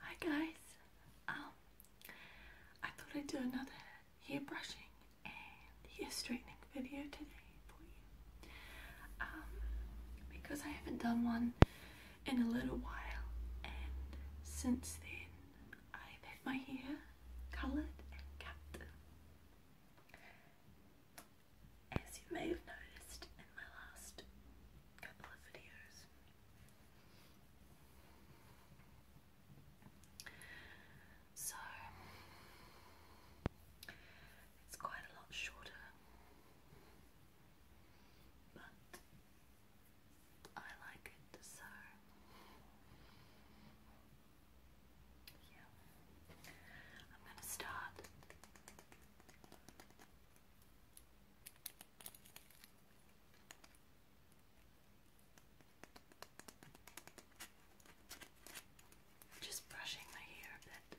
Hi guys, um, I thought I'd do another hair brushing and hair straightening video today for you, um, because I haven't done one in a little while and since then I've had my hair coloured and cut. As you may have noticed in my last couple of videos, so it's quite a lot shorter, but I like it so. I'm going to start just brushing my hair a bit.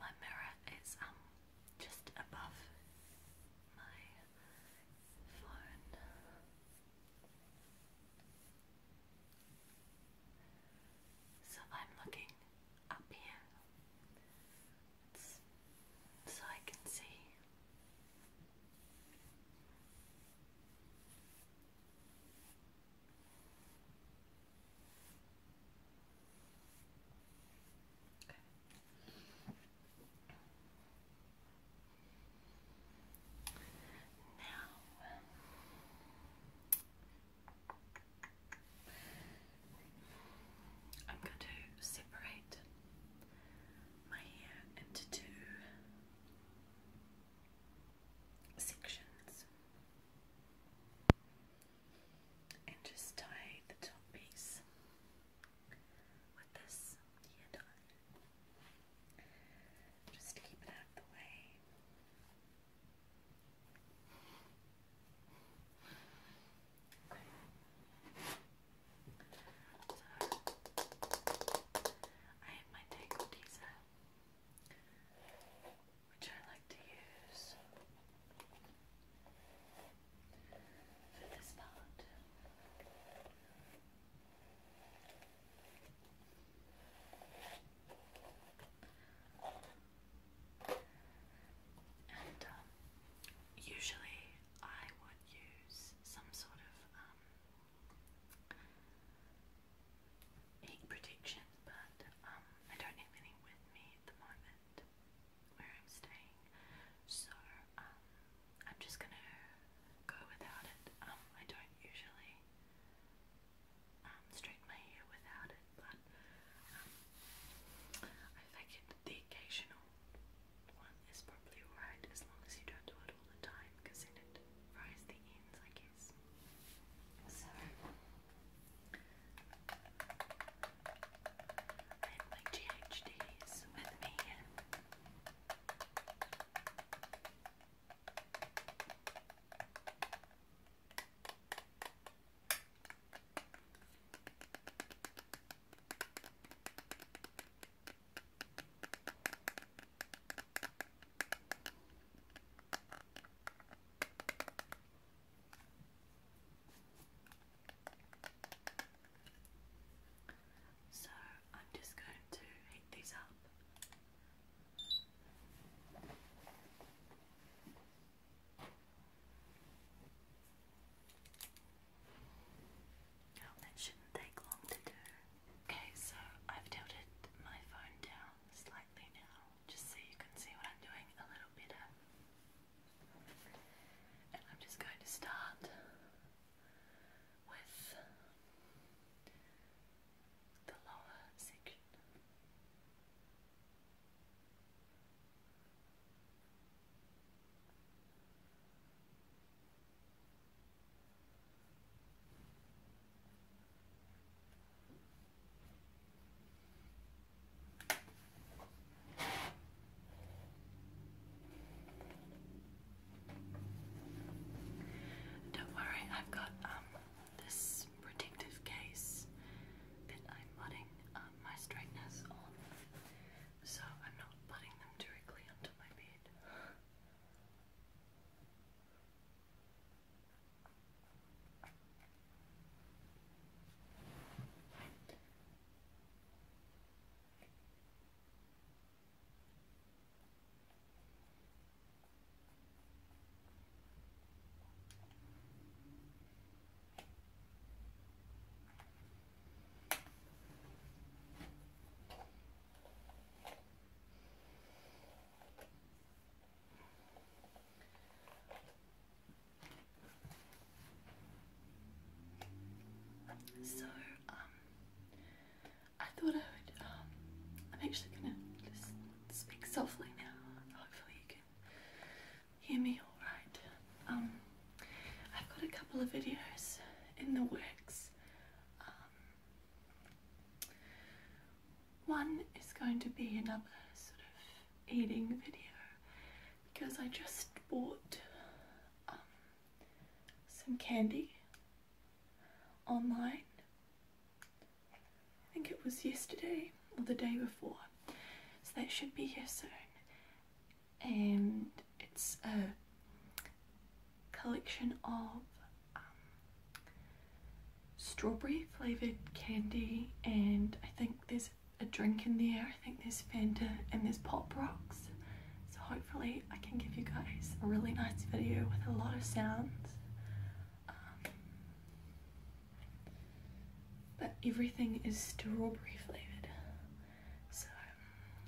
My mirror is um just above my phone. So I'm looking up here so I can see now, um, I'm going to separate my hair into two sections and just tie the top piece with this hair dye just to keep it out the way. So I have my tangle teaser, which I like to use for this part. And um, usually I use some sort of um, heat protection, but I um, don't have any with me at the moment where I'm staying, so um, I'm just gonna go without it. Um, I don't usually straighten my hair without it, but I figured the occasional one is probably alright as long as you don't do it all the time because then it fries the ends, I guess. So, I have my GHDs with me. So I'm just going to heat these up. Oh, okay, so I've tilted my phone down slightly now, just so you can see what I'm doing a little better. And I'm just going to start with the lower section. Don't worry, I've got um this protective case that I'm putting um, my straighteners on so I'm not putting them directly onto my bed. So, um, I thought I would, um, I'm actually gonna just speak softly now. Hopefully you can hear me all right. Um, I've got a couple of videos in the works. Um, one is going to be another sort of eating video because I just bought um, some candy online. I think it was yesterday or the day before, so that should be here soon and um, it's a collection of um, strawberry flavoured candy and I think there's a drink in there, I think there's Fanta and there's Pop Rocks so hopefully I can give you guys a really nice video with a lot of sounds um, but everything is strawberry flavoured so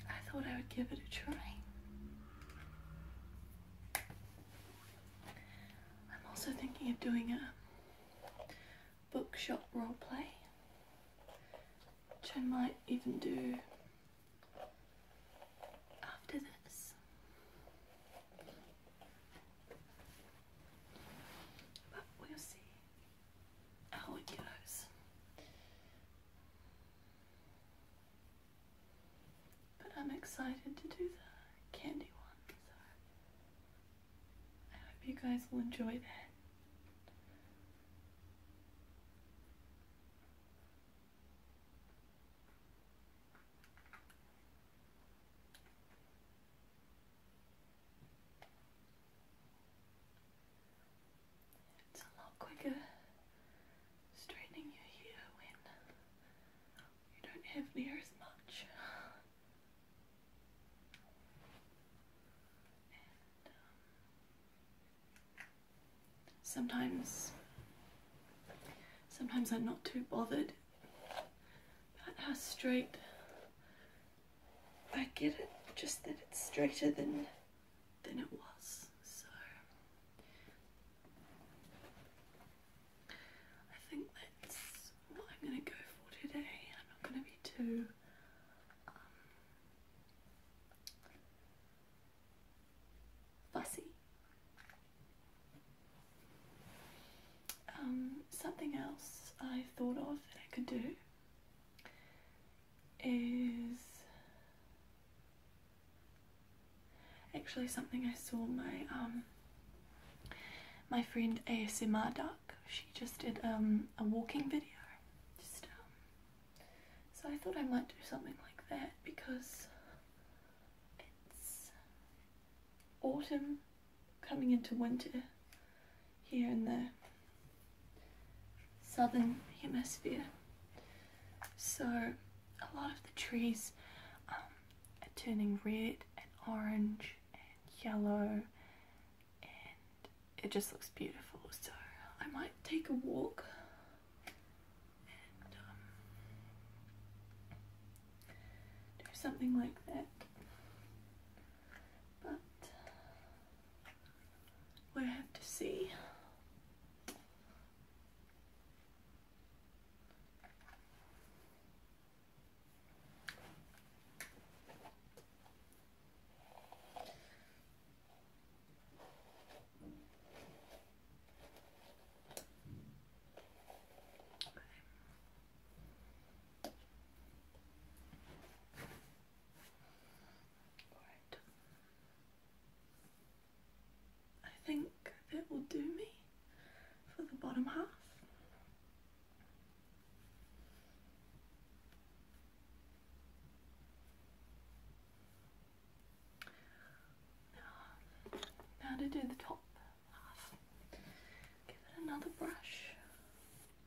I thought I would give it a try. I'm also thinking of doing a bookshop play, which I might even do after this. But we'll see. Oh, on your But I'm excited to do the candy one, I hope you guys will enjoy that. It's a lot quicker straightening your hair when you don't have near as much. Um, sometimes, sometimes I'm not too bothered about how straight I get it, just that it's straighter than than it was. So I think that's what I'm going to go for today. I'm not going to be too. Um, fussy. Um, something else I thought of that I could do is actually something I saw my um, my friend ASMR She just did um, a walking video. Um, so I thought I might do something like that because it's autumn coming into winter here in the southern hemisphere. So a lot of the trees um, are turning red and orange and yellow and it just looks beautiful. So I might take a walk and um, do something like that. But we have to see. I think it will do me for the bottom half. Now to do the top half. Give it another brush.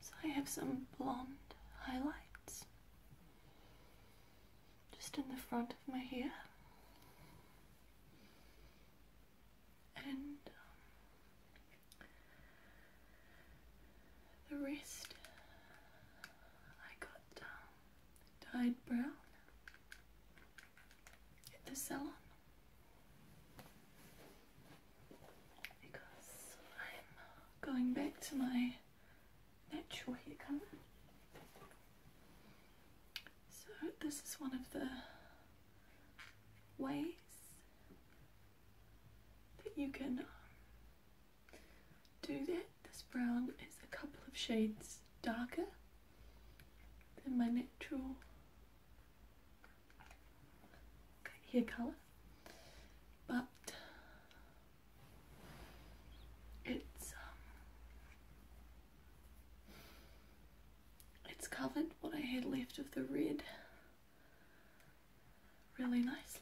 So I have some blonde highlights just in the front of my hair and um, the rest I got um, dyed brown at the salon because I'm going back to my natural hair colour so this is one of the ways that you can um, do that. This brown is a couple of shades darker than my natural hair colour, but it's um, it's covered what I had left of the red really nicely.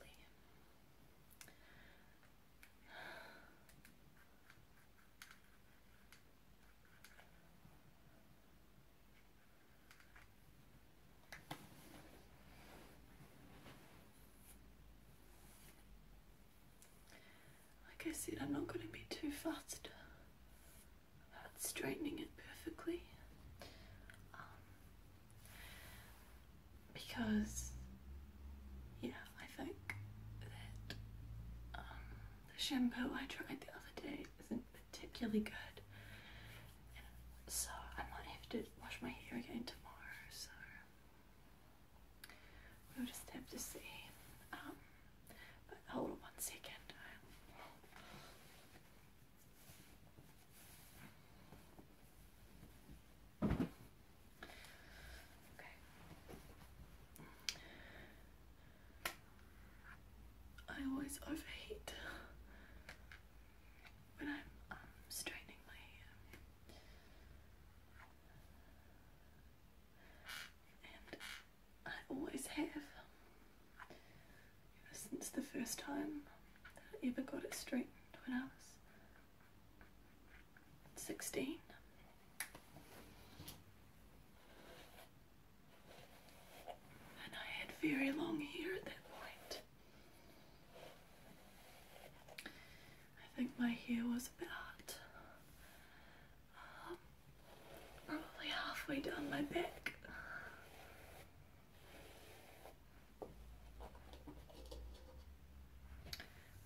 Like I said, I'm not going to be too fast about straightening it perfectly. Um, because, yeah, I think that um, the shampoo I tried the other day isn't particularly good. So I might have to wash my hair again tomorrow, so We'll just have to see. Um, but hold on one second. Okay. I always overheat when I'm um, straining my hand and I always have since the first time that I ever got it straightened when I was 16. And I had very long hair at that point. I think my hair was about probably halfway down my back.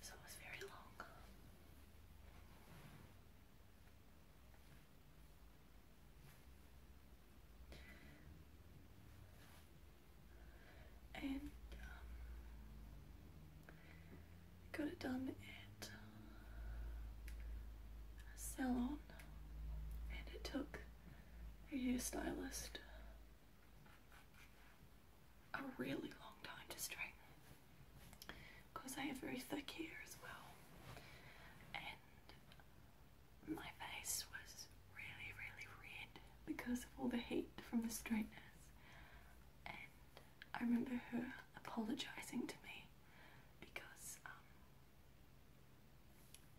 So it was very long. And um, got it done at a salon and it took a hairstylist a really long time to straighten because I have very thick hair as well and my face was really really red because of all the heat from the straighteners I remember her apologising to me because um,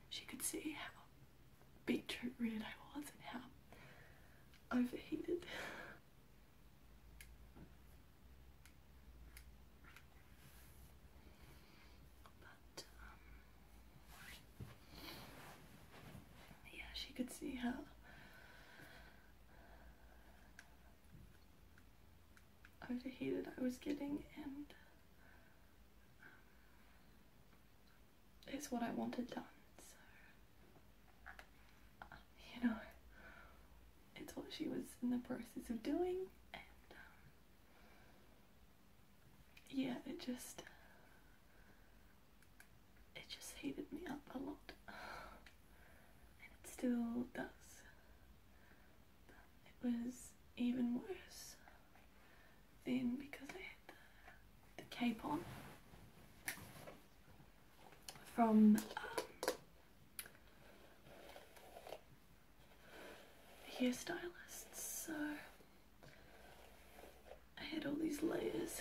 she could see how beetroot red I was and how overheated. But um, yeah, she could see how overheated oh, I was getting and um, it's what I wanted done. So, you know, it's what she was in the process of doing, and um, yeah, it just it just heated me up a lot. And it still does. it was even worse then because I had the, the cape on from um, hair stylists, So I had all these layers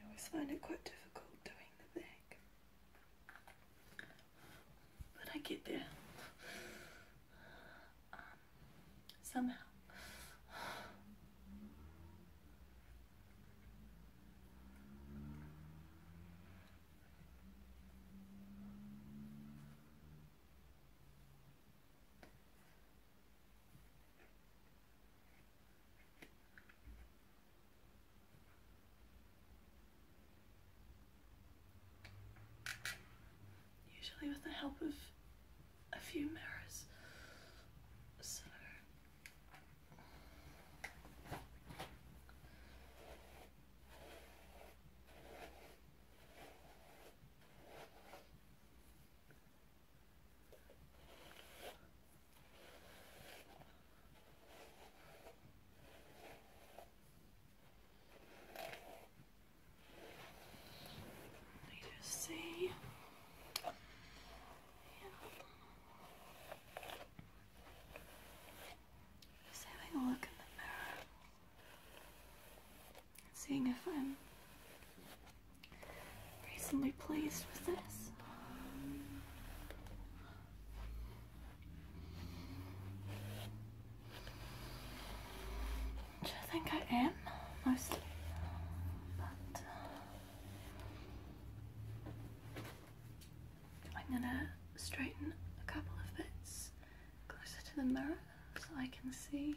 I always find it quite difficult doing the neck, but I get there somehow. Usually with the help of a few mirrors. Let me see. Yeah. Just a look in the mirror. Seeing if I'm reasonably pleased with this. Which I think I am, mostly. But uh, I'm gonna straighten a couple of bits closer to the mirror so I can see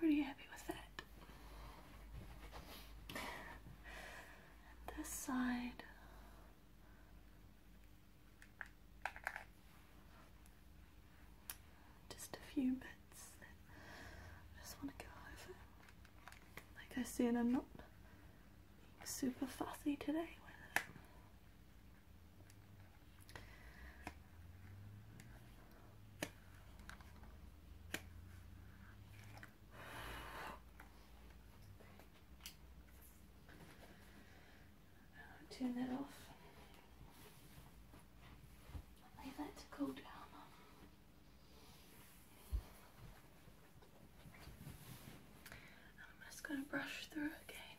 really happy with that. this side. Just a few bits I just want to go over. Like I said, I'm not super fussy today i turn that off. Leave that to cool down. I'm just going to brush through again.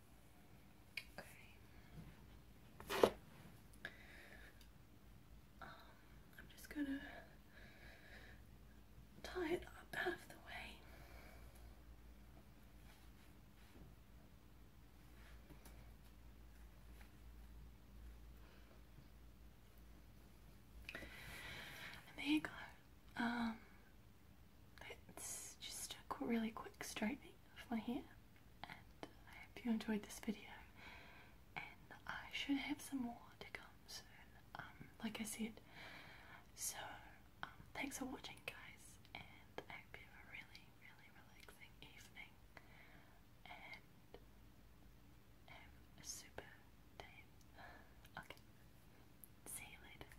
Okay. Um, I'm just gonna tie it up out of the way. And there you go. Um, it's just a really quick straightening of my hair and I hope you enjoyed this video and I should have some more to come soon, um, like I said. So, um, thanks for watching guys and have a really, really relaxing evening and a super day. Okay, see you later.